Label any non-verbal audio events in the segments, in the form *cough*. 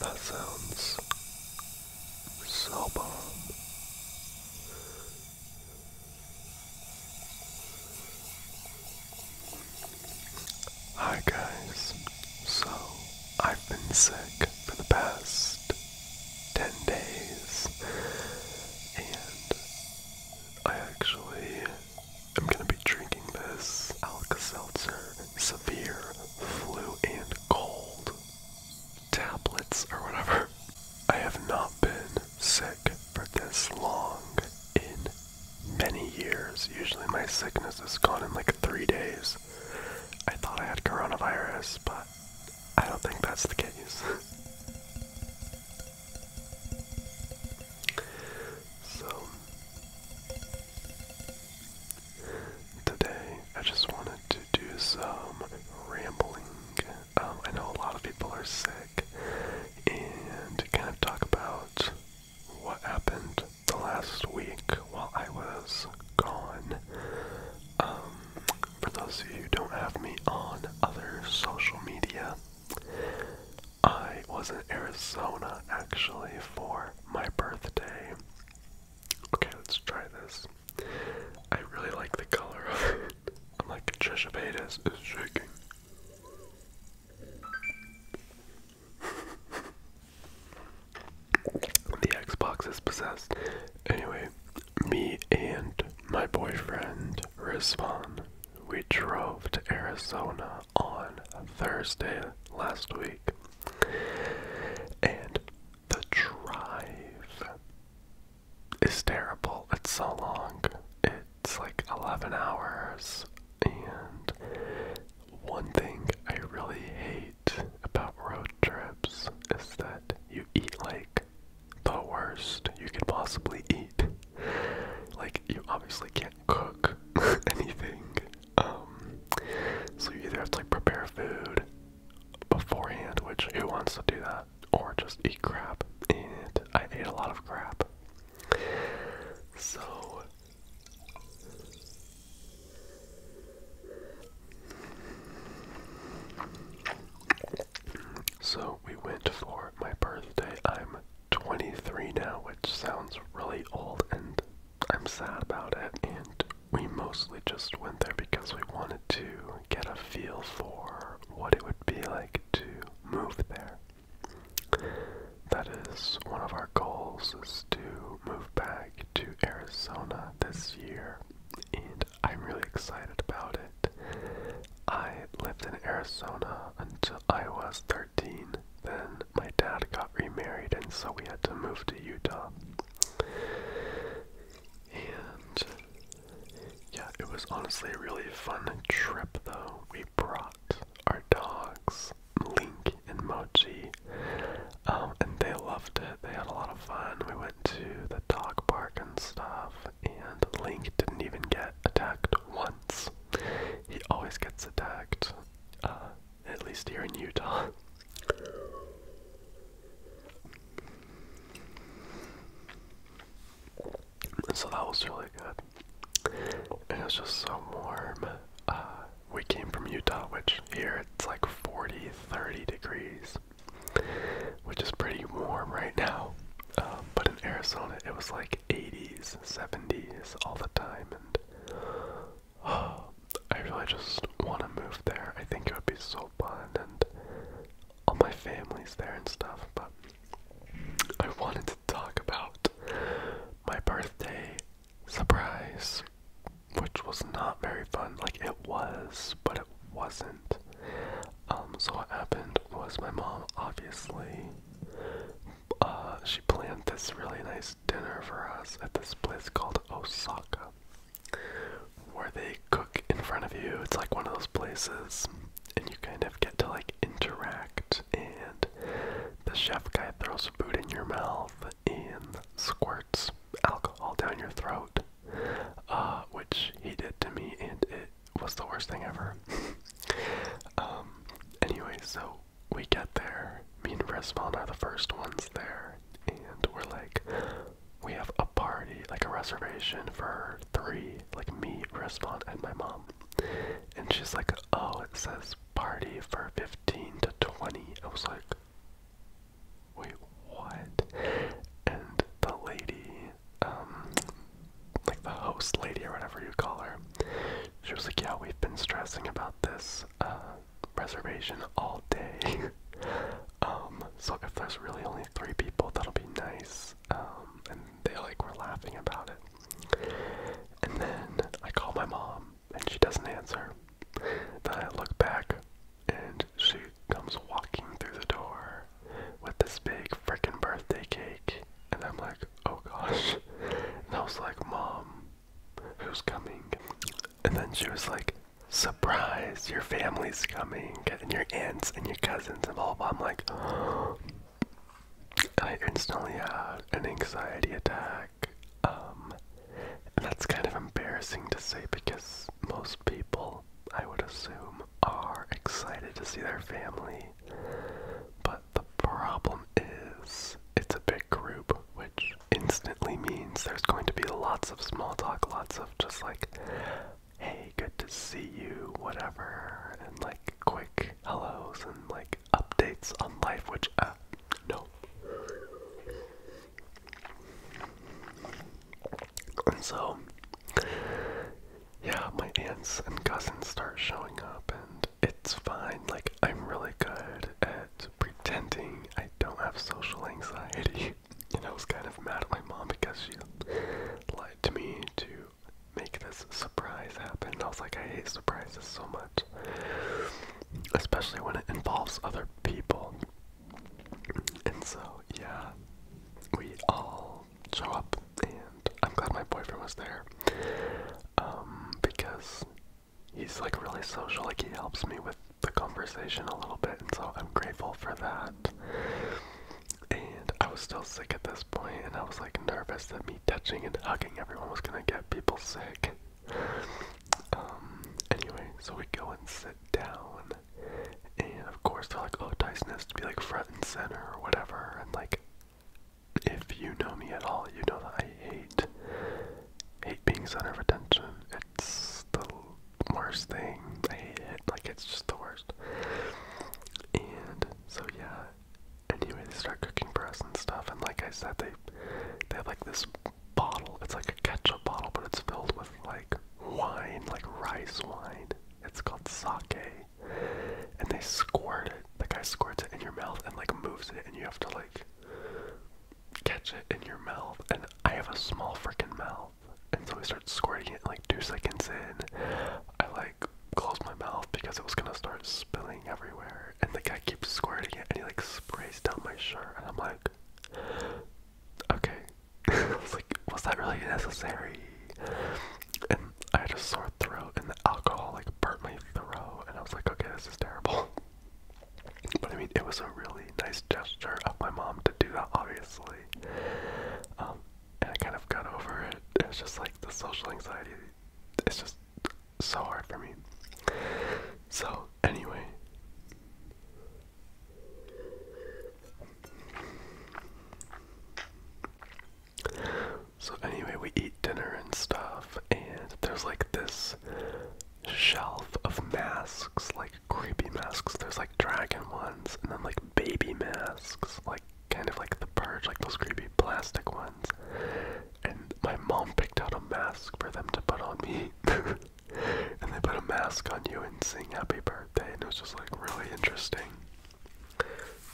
That sounds so Hi guys, so I've been sick for the past 10 days and I actually I'm gonna be drinking this Alka-Seltzer Severe Flu and Cold tablets or whatever. I have not been sick for this long in many years. Usually my sickness is gone in like three days. I thought I had coronavirus, but I don't think that's the case. *laughs* So, today I just wanted to do some rambling. Um, I know a lot of people are sick, and kind of talk about what happened the last week while I was gone. Um, for those of you who don't have me on other social media, I was in Arizona actually for my birthday. Okay, let's try this. I really like the color of it. I'm like, Trisha Paytas is shaking. the Xbox is possessed. Anyway, me and my boyfriend, Rizvan, we drove to Arizona on Thursday last week. And the drive is terrible. It's so long. It's like 11 hours. And one thing I really hate about road trips is that you eat like the worst you could possibly eat. Like, you obviously can't cook *laughs* anything. Um, so you either have to like prepare food beforehand, which who wants to do that, or just eat crap. And I ate a lot of crap. So So we went for my birthday. I'm 23 now, which sounds really old, and I'm sad about it. And we mostly just went there because we wanted to get a feel for what it would be like to move there. That is one of our goals is to move back to Arizona this year, and I'm really excited about it. I lived in Arizona until I was 13. Then my dad got remarried, and so we had to move to Utah. And yeah, it was honestly a really fun trip, though. We brought our dogs, Link and Mochi, um, and they loved it. They had a lot of fun. We went to the dog park and stuff, and Link didn't even get attacked once. He always gets attacked, uh, at least here in Utah. *laughs* So that was really good. It was just so warm. Uh, we came from Utah, which here it's like 40, 30 degrees, which is pretty warm right now. Um, but in Arizona, it was like 80s, 70s all the time, and *sighs* I really just want to move there. I think it would be so fun, and all my family's there and stuff. But I wanted to talk about my birthday surprise, which was not very fun. Like it was, but it wasn't. Um, so what happened was my mom obviously uh she planned this really nice dinner for us at this place called Osaka where they cook in front of you. It's like one of those places and you kind of get to like interact and the chef guy throws food in your mouth and squirts alcohol down your throat. Uh, which he did to me and it What's the worst thing ever. *laughs* um, anyway, so we get there. Me and Respawn are the first ones there, and we're like, we have a party, like a reservation for three, like me, Respawn, and my mom. And she's like, oh, it says party for 15 to 20. I was like, wait, what? And the lady um, like the host lady or whatever you call her, she was like, "Yeah, we've been stressing about this uh, reservation all day. *laughs* Um, so if there's really only three people, that'll be nice." Um, and they like were laughing about it. And then I call my mom, and she doesn't answer. Then I look back, and she comes walking through the door with this big freaking birthday cake. And I'm like, oh gosh. And I was like, Mom, who's coming? And then she was like, surprise, your family's coming, and your aunts and your cousins and blah blah. I'm like, oh. *gasps* I instantly had an anxiety attack. Um, and that's kind of embarrassing to say because most people, I would assume, are excited to see their family but the problem is, it's a big group, which instantly means there's going to be lots of small talk, lots of just like, hey, good to see you, whatever, and like quick hellos and like updates on life, which, uh, no. And so, yeah, my aunts and cousins start showing up, and it's fine. Like, I'm really good at pretending I don't have social anxiety. *laughs* And I was kind of mad at my mom because she lied to me to make this surprise happen. I was like, I hate surprises so much, especially when it involves other people. And so, yeah, we all show up, and I'm glad my boyfriend was there um, because he's like really social. Like he helps me with the conversation a little bit, and so I'm grateful for that. And I was still sick at this point, and I was like nervous that me touching and hugging everyone was gonna get people sick. Um, anyway, so we go and sit down, and of course they're like, oh, Dyson has to be like front and center or whatever. And like, if you know me at all, you know that I hate hate being center of attention. It's the worst thing. I hate it. Like it's just the worst. And so yeah. Anyway, they start cooking for us and stuff. And like I said, they they have like this bottle. It's like a ketchup bottle, but it's filled with like wine, like rice wine. It's called sake. And they squirt it. The guy squirts it in your mouth and like moves it and you have to like catch it in your mouth. And I have a small freaking mouth. And so I start squirting it like two seconds in. I like close my mouth because it was gonna start spilling everywhere. And the guy keeps squirting it and he like sprays down my shirt and I'm like Okay. *laughs* like, was that really necessary? And I had a sore throat, and the alcohol like burnt my throat, and I was like, okay, this is terrible. But I mean, it was a really nice gesture of my mom to do that, obviously. Um, and I kind of got over it. It's just like the social anxiety, it's just so hard for me. So, anyway. So anyway, we eat dinner and stuff, and there's like this shelf of masks, like creepy masks. There's like dragon ones, and then like baby masks, like kind of like the purge, like those creepy plastic ones. And my mom picked out a mask for them to put on me. *laughs* and they put a mask on you and sing happy birthday, and it was just like really interesting.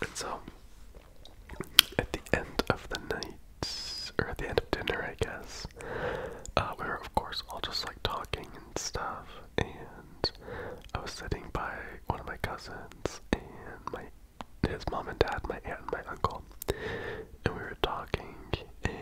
And so, at the end of the night, or at the end of dinner, I guess, uh, we were, of course, all just like talking and stuff. And I was sitting by one of my cousins and my his mom and dad, my aunt and my uncle, and we were talking, and,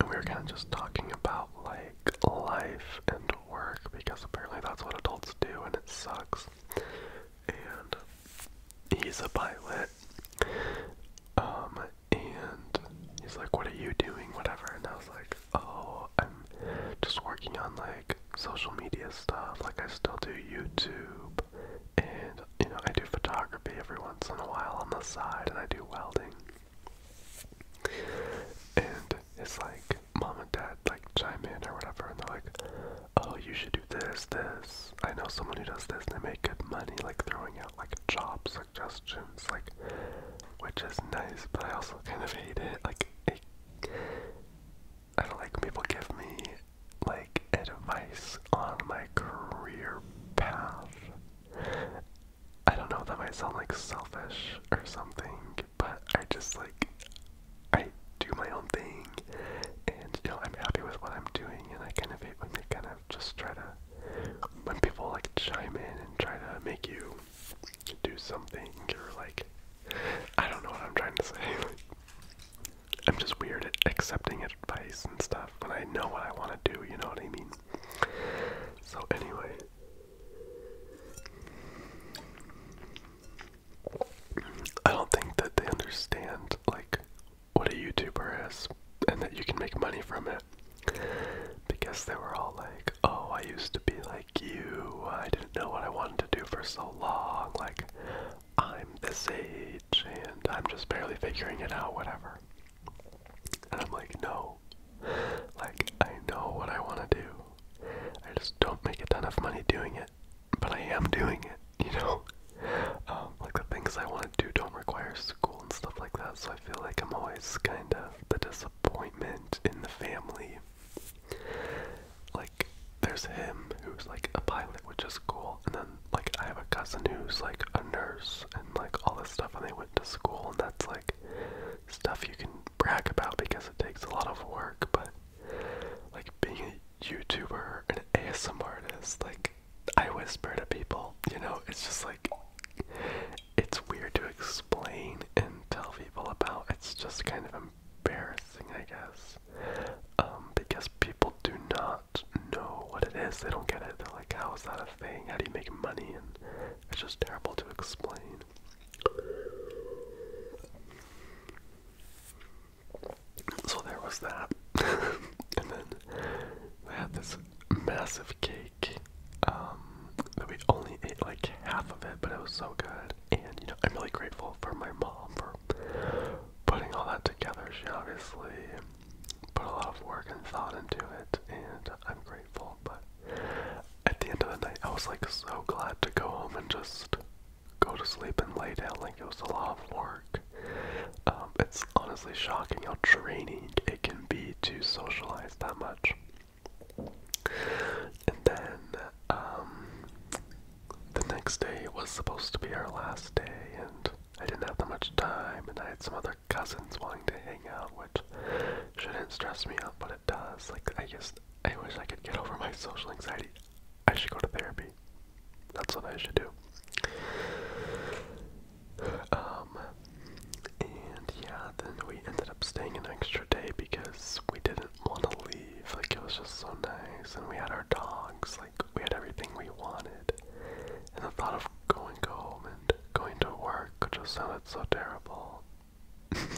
and we were kind of just talking about like life and work because apparently that's what adults do and it sucks. And he's a pilot. Um, and he's like, What are you doing? Whatever. And I was like, Oh, I'm just working on like social media stuff. Like, I still do YouTube. And, you know, I do photography every once in a while on the side, and I do welding. And it's like, mom and dad like chime in or whatever, and they're like, "Oh, you should do this, this." I know someone who does this, and they make good money, like throwing out like job suggestions, like, which is nice, but I also kind of hate it. Like, I don't like people give me like advice on my career path. I don't know, that might sound like selfish or something, think, but I just like I do my own thing, and you know I'm happy with what I'm doing, and I kind of hate when kind of just try to when people like chime in and try to make you do something or like I don't know what I'm trying to say. *laughs* I'm just weird at accepting advice and stuff when I know what I want to do. You know what I mean? So anyway, I don't think that they understand like what a YouTuber is and that you can make money from it. Because they were all like, "Oh, I used to be like you. I didn't know what I wanted to do for so long. Like, I'm this age and I'm just barely figuring it out, whatever." And I'm like, "No. Like, I know what I want to do. I just don't make enough money doing it, but I am doing it, you know? Um, like the things I want to do don't require school and stuff like that, so I feel like I'm always kind of the disappointment in the family. Like, there's him who's like a pilot, which is cool, and then like I have a cousin who's like a nurse and like all this stuff, and they went to school, and that's like stuff you can brag about because it takes a lot of work, but like being a YouTuber an ASM artist, like I whisper to people, you know, it's just like it's weird to explain and tell people about. It's just kind of embarrassing, I guess. Um, because people do not know what it is. They don't get it. They're like, how is that a thing? How do you make money? And it's just terrible to explain. So there was that. *laughs* and then they had this massive cake um, that we only ate like half of it, but it was so good. And, you know, I'm really grateful for my mom for putting all that together. She obviously put a lot of work and thought into it, and I'm grateful. But at the end of the night, I was like so glad to go home and just go to sleep and lay down like it was a lot of work. Um, it's honestly shocking how draining it can be to socialize that much. And then um, the next day was supposed to be our last day, and I didn't have that much time, and I had some other cousins wanting to hang out, which shouldn't stress me out, but it does. Like, I just I wish I could get over my social anxiety. I should go to therapy. That's what I should do. Um, and yeah, then we ended up staying an extra day because we didn't want to leave. Like, it was just so nice. And we had our dogs. Like, we had everything we wanted. And the thought of going home and going to work just sounded so terrible and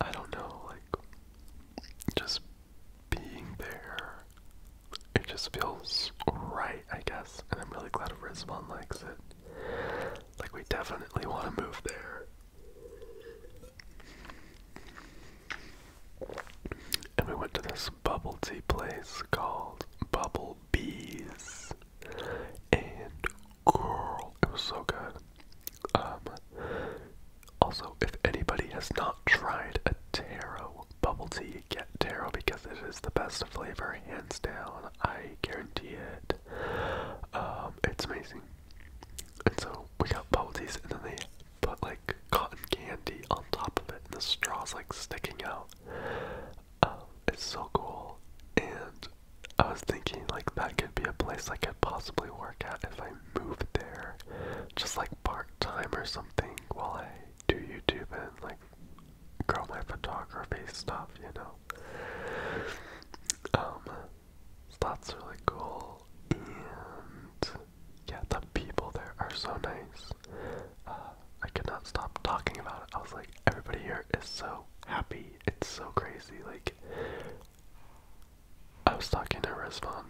I don't know, like, just being there, it just feels right, I guess. And I'm really glad if Rizwan likes it. Like, we definitely want to move there. And we went to this bubble tea place called Bubble Bees. And girl, it was so good. Um, also, if anybody has not tried a taro bubble tea, get taro because it is the best flavor, hands down. I guarantee it. Um, it's amazing. And so we got bubble teas, and then they put like cotton candy on top of it, and the straw's like sticking out. Um, it's so cool. And I was thinking like that could be a place I could possibly work at if I moved there, just like part time or something while I do YouTube and like grow my photography stuff, you know. Um, so that's really cool, and yeah, the people there are so nice. Uh, I could not stop talking about it. I was like, everybody here is so happy it's so crazy. Like, I was talking to Rizvan,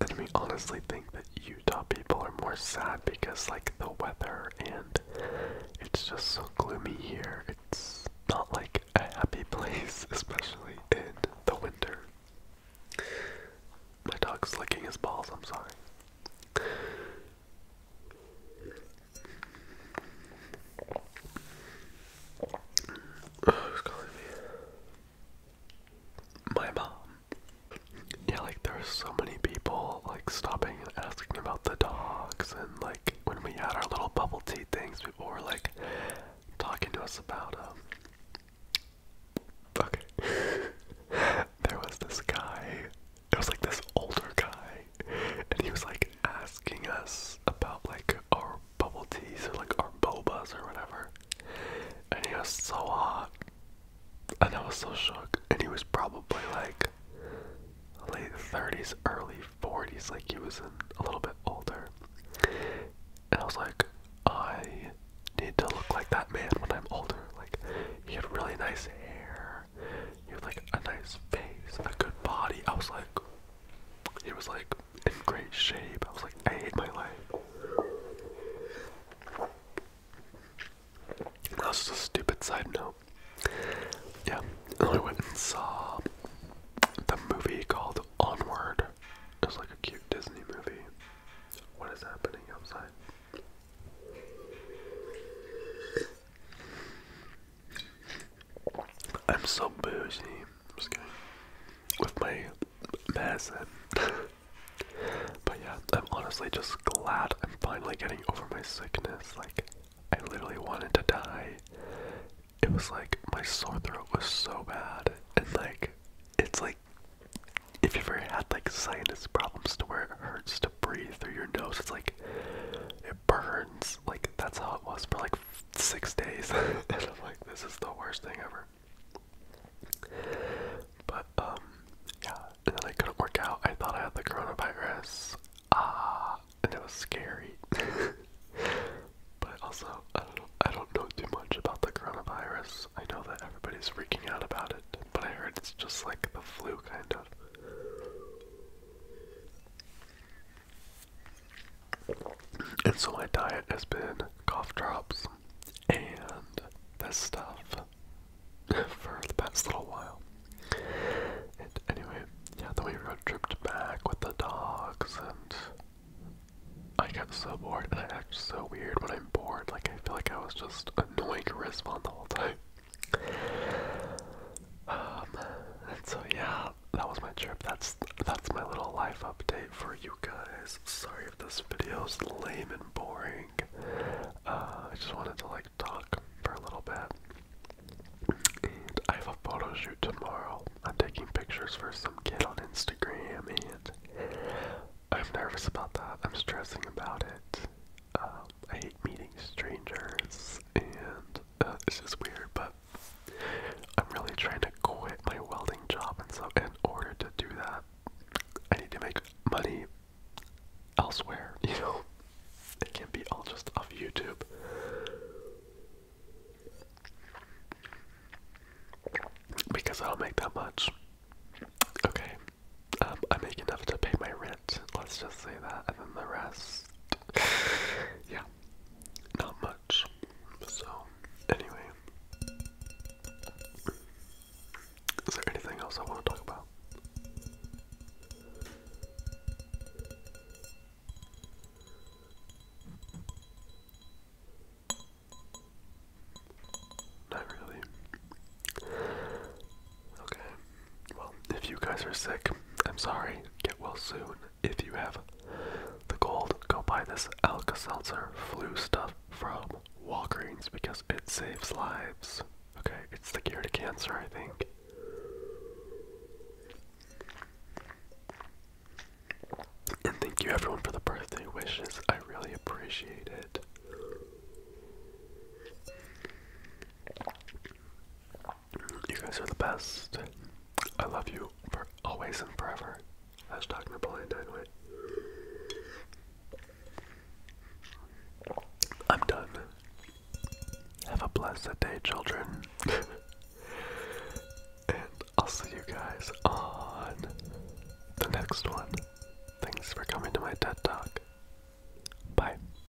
and we honestly think that Utah people are more sad because, like, the weather and it's just so gloomy here. It's not like a happy *laughs* place, especially in the winter. My dog's licking his balls, I'm sorry who's oh, calling me? My mom. Yeah, like there were so many people like stopping and asking about the dogs and like when we had our little bubble tea things, people were like talking to us about um Okay. *laughs* there was this guy it was like this older guy, and he was like asking us about like our bubble teas or like our bobas or whatever. And he was so hot, and I was so shook. And he was probably like late 30s, early 40s, like he was a little bit older. And I was like, I need to look like that man when I'm older. Like, he had really nice hair hair. He had like a nice face, a good body. I was like, he was like in great shape. I was like, I hate my life. And that was a stupid side note. Yeah, and I went and saw the movie called Onward. It was like a cute Disney movie. What is happening outside? I'm so bougie. With my medicine. but yeah, I'm honestly just glad I'm finally getting over my sickness. Like, I literally wanted to die. It was like my sore throat was so bad. And like, it's like, if you've ever had like sinus problems to where it hurts to breathe through your nose. It's like it burns. Like that's how it was for like six days. *laughs* and I'm like, this is the worst thing ever. But um, yeah. And then I couldn't work out. I thought I had the coronavirus. Ah, and it was scary. *laughs* but also, I don't, know, I don't know too much about the coronavirus. I know that everybody's freaking out about it, but I heard it's just like the flu, kind of. And so my diet has been cough drops and this stuff *laughs* for the past little while. And anyway, yeah, the way we got tripped back with the dogs and I got so bored and I act so weird when I'm bored. Like I feel like I was just annoying Rizvan the whole time. Um, so yeah, that was my trip. That's that's my little life update for you guys. Sorry if this video's lame and boring. Uh, I just wanted to like talk for a little bit. I have a photo shoot tomorrow. I'm taking pictures for some kid on Instagram, and I'm nervous about that. I'm stressing about it. Um, I hate meeting strangers, and uh, it's just weird, but I'm really trying to quit my welding job, and so in order to do that, I need to make money elsewhere. *laughs* You know, it can't be all just off YouTube. Because I don't make that much. Okay, um, I make enough to pay my rent, Let's just say that. And then the rest, yeah, not much. So, anyway, is there anything else I want to talk about? Not really. Okay. Well, if you guys are sick, I'm sorry. Get well soon. If you have the cold, go buy this Alka Seltzer flu stuff from Walgreens because it saves lives. Okay, it's the cure to cancer, I think. And thank you everyone for the birthday wishes. I really appreciate it. You guys are the best. I love you for always and forever. Hashtag Napoleon Dynamite. I'm done. Have a blessed day, children. *laughs* and I'll see you guys on the next one. Thanks for coming to my TED Talk. Bye.